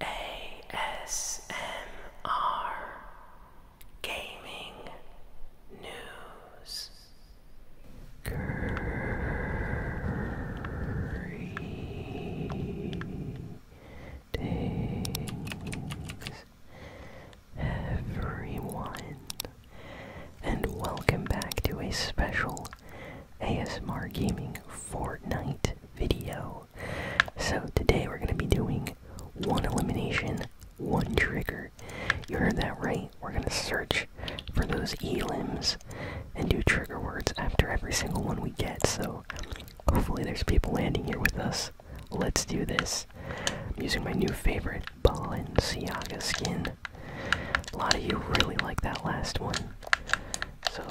ASMR Gaming News Greetings everyone and welcome back to a special ASMR Gaming Fortnite video. So today we're going to be doing one elimination, one trigger. You heard that right. We're going to search for those elims and do trigger words after every single one we get. So hopefully there's people landing here with us. Let's do this. I'm using my new favorite Balenciaga skin. A lot of you really like that last one. So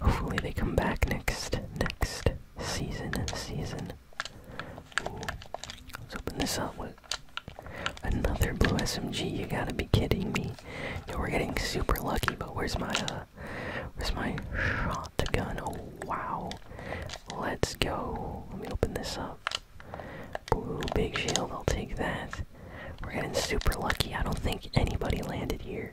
Hopefully they come back next next season season. Let's open this up with another blue SMG. You gotta be kidding me. we're getting super lucky, but where's my uh where's my shotgun? Oh wow. Let's go. Let me open this up. Blue big shell. I'll take that. We're getting super lucky. I don't think anybody landed here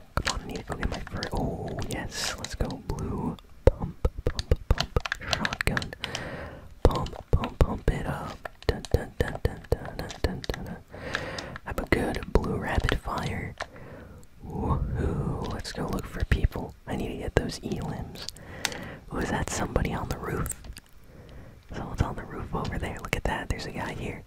Come on, need to go get my first. Oh, yes, let's go. Blue. Pump, pump, pump. Shotgun. Pump, pump, pump it up. Dun, dun, dun, dun, dun, dun, dun, dun, dun. Have a good blue rapid fire. Woohoo. Let's go look for people. I need to get those elims. Oh, is that somebody on the roof? Someone's on the roof over there. Look at that. There's a guy here.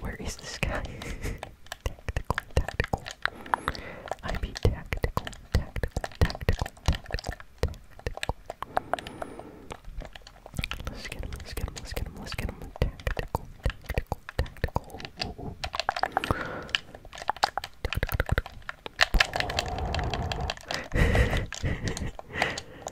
where is this guy? tactical, tactical. I be tactical, tactical, tactical, tactical, Let's get him, let's get him, let's get him, let's get him. Tactical, tactical, tactical. Ooh,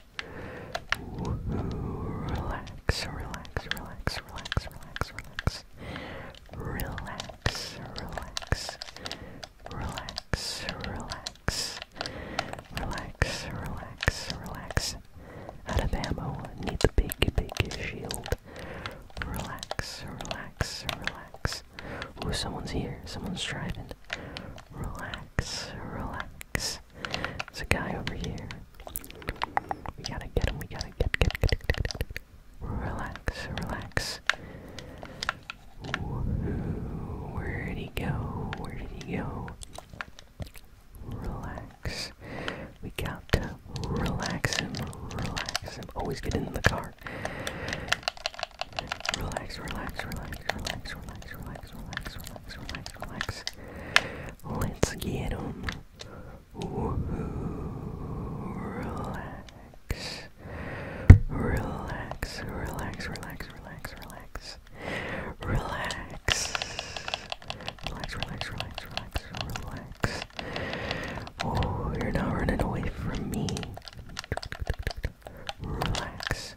Relax, relax, relax, relax, relax, relax. Relax, relax. Relax, relax. Relax, relax, relax. Out of ammo, need the big, big shield. Relax, relax, relax. Ooh, someone's here. Someone's driving. Relax, relax. There's there's a guy over here. We gotta get him. We gotta get get get get. get, get. Relax, relax. Where did he go? Where did he go? Relax. We got to relax him. Relax him. Always oh, get in the car. Relax, relax, relax, relax, relax, relax, relax, relax relax, relax, Let's get them. Relax. Relax, relax, relax, relax, relax. Relax. Relax, relax, relax, relax, relax. Oh, you're not running away from me. Relax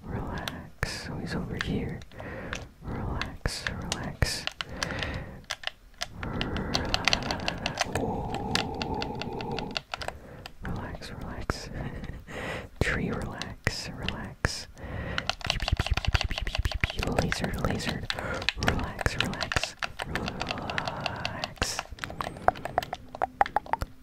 relax. So he's over here. Relax, relax. Relax, relax. Tree relax, relax. Laser, laser. Relax, relax, relax.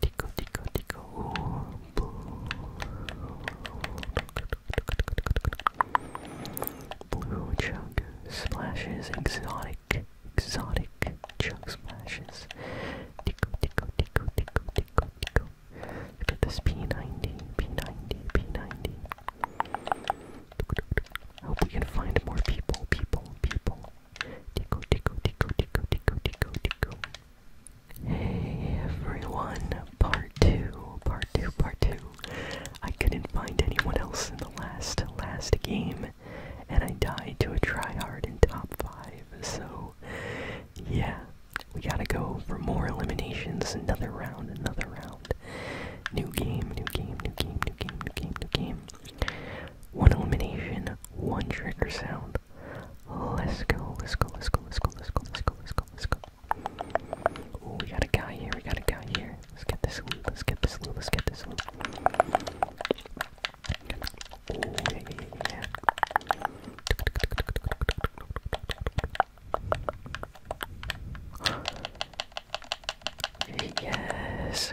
Tico, tico, tico. Blue chug splashes, exotic, exotic chug splashes. Tico, tico, tico, tico, tico, tico. Look at this P90, P90, P90. I hope we can find more people, people, people. Hey everyone, part two, part two, part two. I couldn't find anyone else in the last, last game, and I died to a tryhard in top five, so yeah, we gotta go for more eliminations, another round, another round. New game, new game, new game, new game, new game, new game. One elimination, one trigger sound. Let's go, let's go, let's go, let's go, let's go, let's go, let's go, let's go. we got a guy here, we got a guy here. Let's get this loot, let's get this loot, let's get this loot. Yes,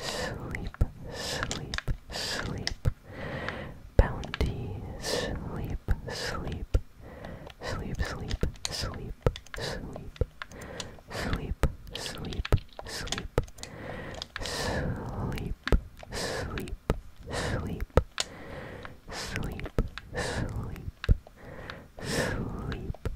Sleep, sleep, sleep. Bounty, sleep, Sleep, sleep, sleep, sleep. Sleep, sleep, sleep. Sleep, sleep, sleep. Sleep, sleep, sleep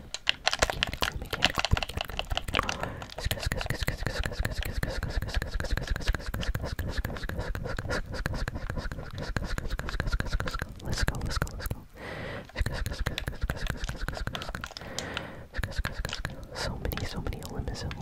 Let's go, let's go, let's go. So many, so many eliminations.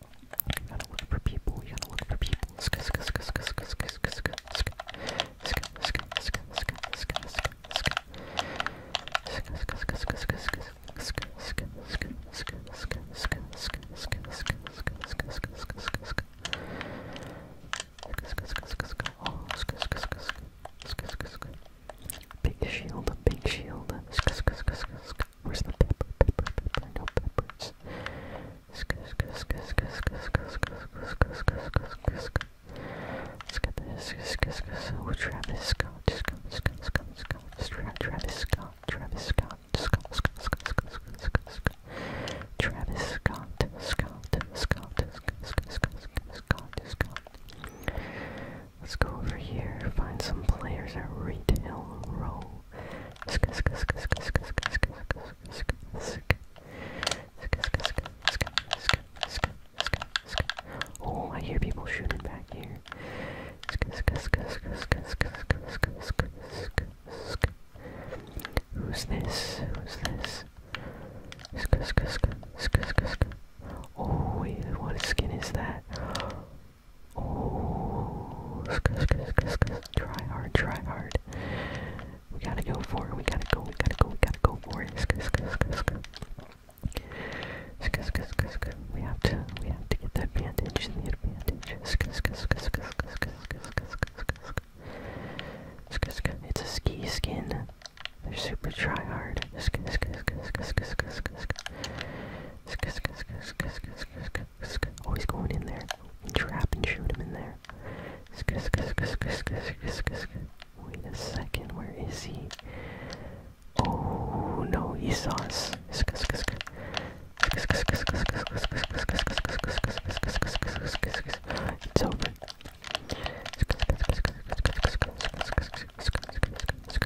You gotta look for people, you gotta look for people. Sk sk sk sk sk sk sk sk sk sk sk sk sk sk sk Big shield, big shield, sk sk sk sk Where's the pepper? Pepper, no peppers. Let's get this. Oh, Travis Scott, Scott, Scott, Scott, Scott, Travis Scott, Travis Scott, Scott, Scott, Scott, Scott, Scott, Scott, Scott, Travis Scott, Scott, Scott, Scott, Scott, Scott, Scott. Let's go over here, find some players at Retail Row. Oh, I hear people shooting back here. Who's this? Who's this? Oh wait, what skin is that? Oh, try hard, try hard. We gotta go for it. We gotta go. We gotta go. We gotta go for it. We have to. We have to get the advantage. The advantage. It's a ski skin. They're super try hard. Oh, he's going in there. And trap and shoot him in there. Wait a second, where is he? Oh no, he saw us. It's over.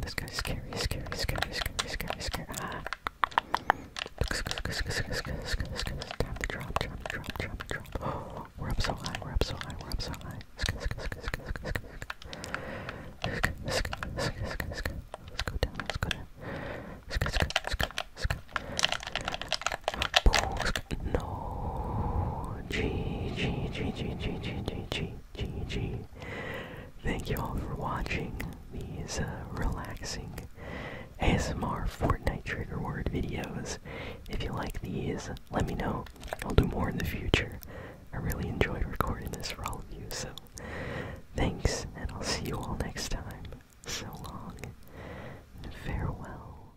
This guy's scary, scary, scary, scary, scary, scary. Ah. Time to drop, drop, drop, drop, drop. Oh, we're up so high, we're up so high, we're up so high. Let's go, let's go down, let's go down. Let's go, let's go, let's go, let's go. No. G G G G G G G G G Thank you all for watching these relaxing ASMR Fortnite trigger word videos. If you like these, let me know. I'll do more in the future. I really enjoyed recording this for all of you, so thanks, and I'll see you all next time. So long, and farewell.